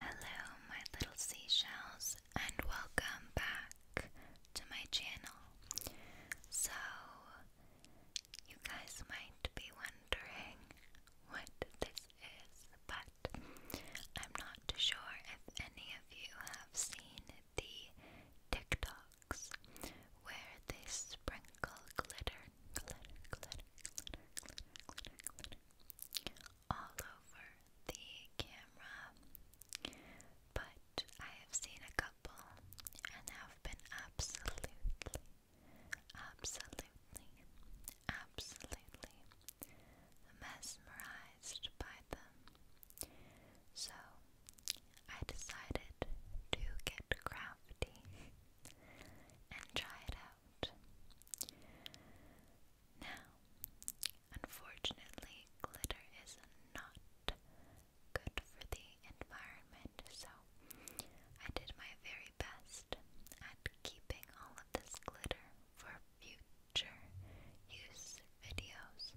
Hello, my little seashells, and welcome back to my channel. So, you guys might be wondering what this is, but I'm not too sure if any of you have seen the TikToks where they sprinkle glitter, glitter, glitter all over the camera, but I have seen a couple and have been absolutely, absolutely, absolutely mesmerized by them. So I decided to get crafty and try it out. Now, unfortunately, glitter is not good for the environment, so I did my very best at keeping all of this glitter for future use videos.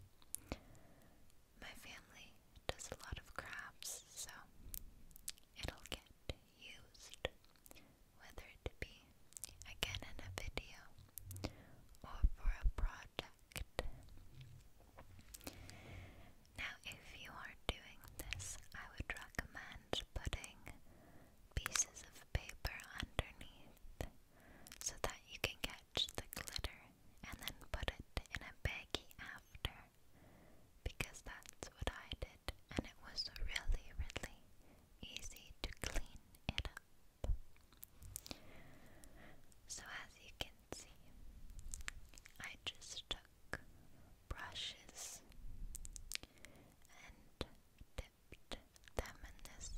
My family does a lot of crafts, so it'll get used whether it be again in a video or for a project. Now, if you are doing this, I would recommend putting pieces of paper underneath so that you can catch the glitter and then put it in a baggie after because that's what I did and it was really, really easy to clean it up. So, as you can see, I just took brushes and dipped them in this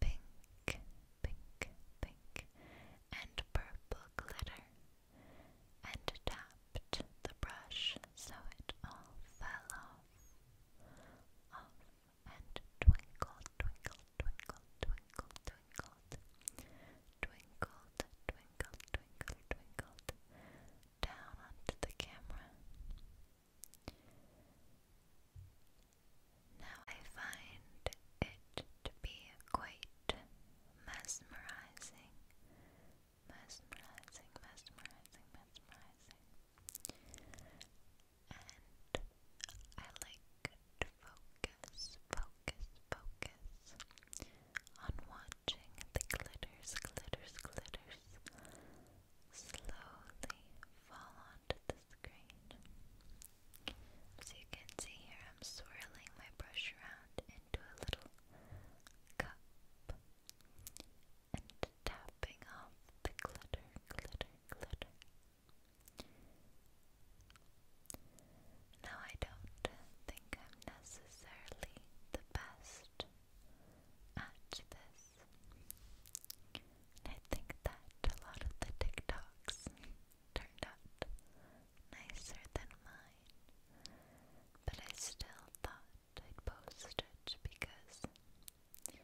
pink, pink, pink, and purple glitter and tapped the brush so it all fell off, and twinkled, twinkled, twinkled, twinkled, twinkled, twinkled, twinkled, twinkled, twinkled, down onto the camera. Now I find it to be quite mesmerizing, mesmerizing, mesmerizing, mesmerizing. And I like to focus, focus, focus on watching the glitters, glitters, glitters slowly fall onto the screen. So you can see here I'm swirling my brush around into a little cup and tapping off the glitter, glitter, glitter. Now, I don't think I'm necessarily the best at this. I think that a lot of the TikToks turned out nicer than mine, but I still thought I'd because I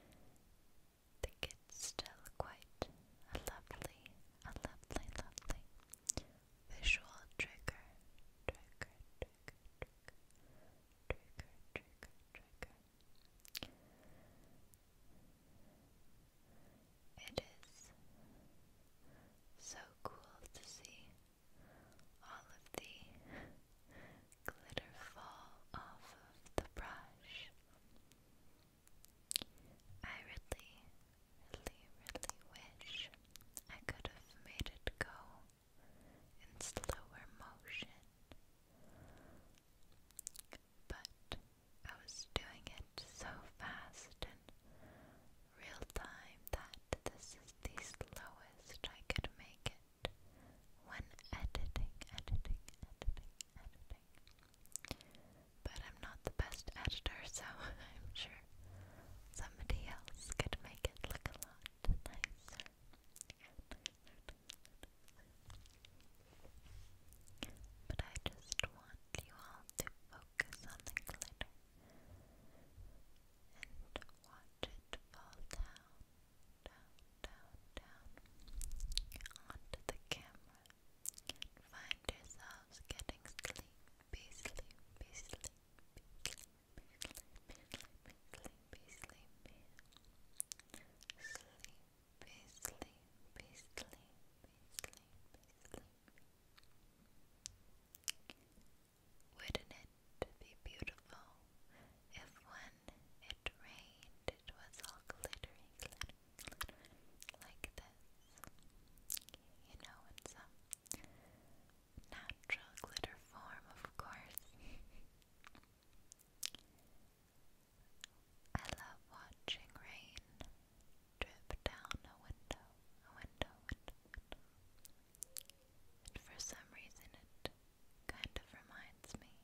think it's still quite a lovely, a lovely, lovely visual Trigger, trigger, trigger, trigger, trigger, trigger. It is so cool to see all of the glitter fall off of the brush. I really, really, really wish I could have made it go in slower motion, but I was doing it so fast and real time that this is the slowest I could make it when editing, editing, editing, editing. But I'm not the best editor, so I'm sure somebody else could make it look a lot nicer. But I just want you all to focus on the glitter and watch it fall down down, down, down onto the camera find yourselves getting sleepy, sleepy, sleepy, sleepy, sleepy, sleepy, sleepy, sleepy, sleepy, sleepy, sleepy. Wouldn't it be beautiful if when it rained, it was all glittering like this. You know, it's a natural glitter form, of course. I love watching rain drip down a window, a window, window, for some reason, it kind of reminds me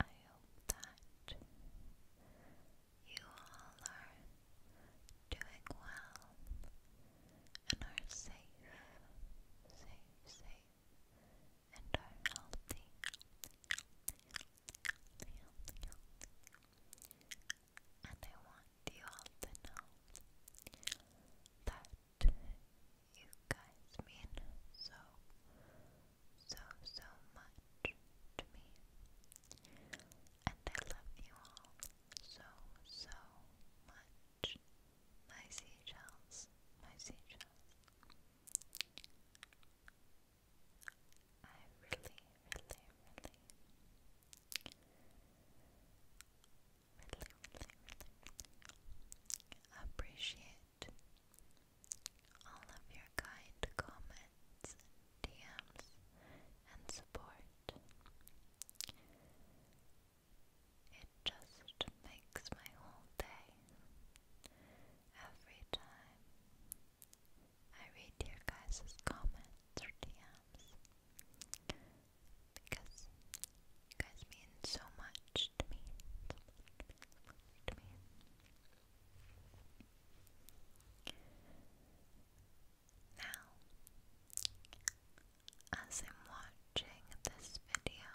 I hope that you all are doing well and are safe, safe, safe, and are healthy, And I want you all to know that you guys mean so, so, so much to me. And I love you all so, so much. My seashells, my seashells. I really, really. Really, really, really, really appreciate all of your kind comments, DMs, and support. It just makes my whole day. Every time I read your guys' comments or DMs, because you guys mean so much to me. Now, as I'm watching this video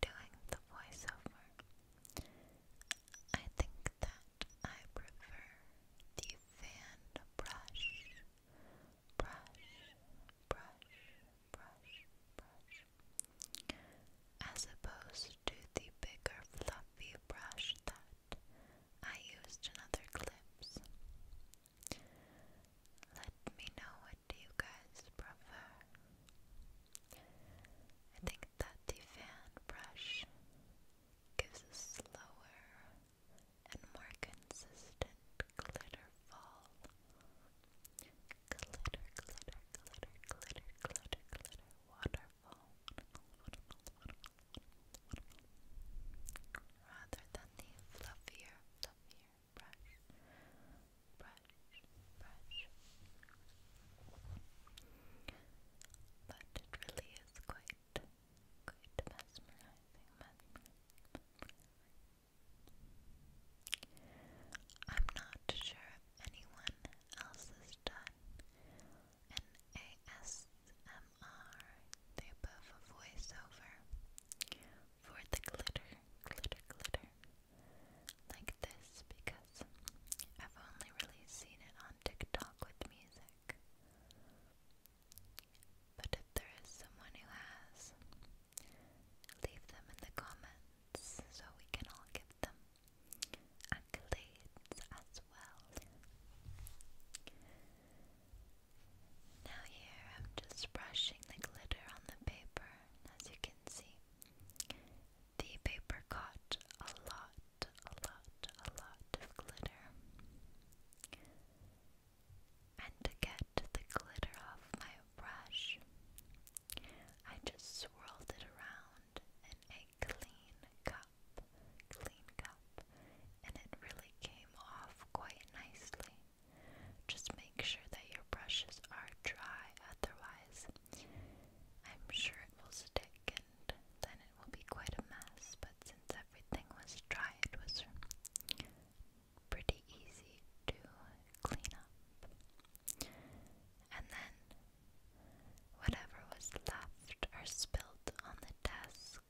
doing the voiceover, I think that I prefer the fan brush, brush, brush, brush, brush, as opposed to the bigger fluffy brush that I used in other clips. Let me know what you guys prefer. I think that the fan brush gives a slower and more consistent glitter fall Glitter, glitter, glitter, glitter, Rather than the fluffier, fluffier brush, brush, brush. But it really is quite, quite mesmerizing, mesmerizing. I'm not sure anyone else has done an ASMR type a voiceover for the glitter, glitter, glitter like this because I've only really seen it on TikTok with music. But if there is someone who has, leave them in the comments gifts, so we can all give them accolades as well. Now, here I'm just brushing the glitter on the paper, as you can see. The paper caught a lot, a lot, a lot of glitter. And to get the glitter off my brush. I just swirled it around in a clean cup, clean cup, and it really came off quite nicely. Just make sure that your brushes are dry, otherwise, I'm sure it will stick and then it will be quite a mess. But since everything was dry, it was pretty easy to clean up. And then whatever was left or spilled on the desk,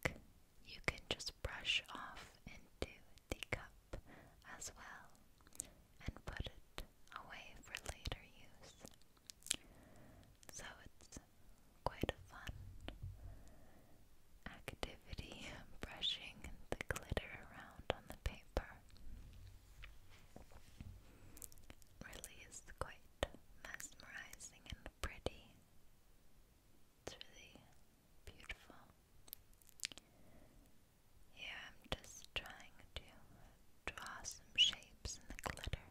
you can just brush off into the cup as well and put it away for later use. So it's quite a fun activity brushing the glitter around on the paper really is quite mesmerizing and pretty. It's really beautiful. Here I'm just trying to draw some shapes in the glitter.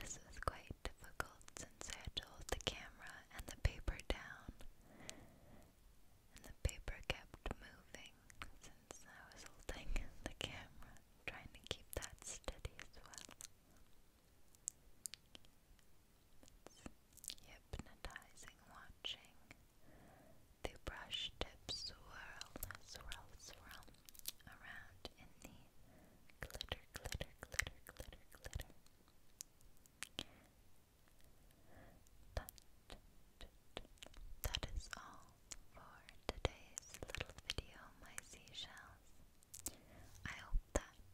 This was quite difficult since I had the camera and the paper down. And the paper kept moving I was holding the camera, trying to keep that steady as well. hypnotizing watching the brush tips swirl, swirl, swirl around in the glitter, glitter, glitter, glitter, glitter that is all for today's little video, my seashells. I hope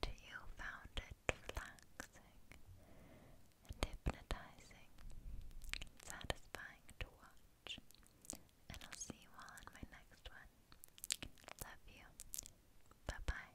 that you found it relaxing hypnotizing satisfying to watch. And I'll see you all in my next one. Love you. Bye bye.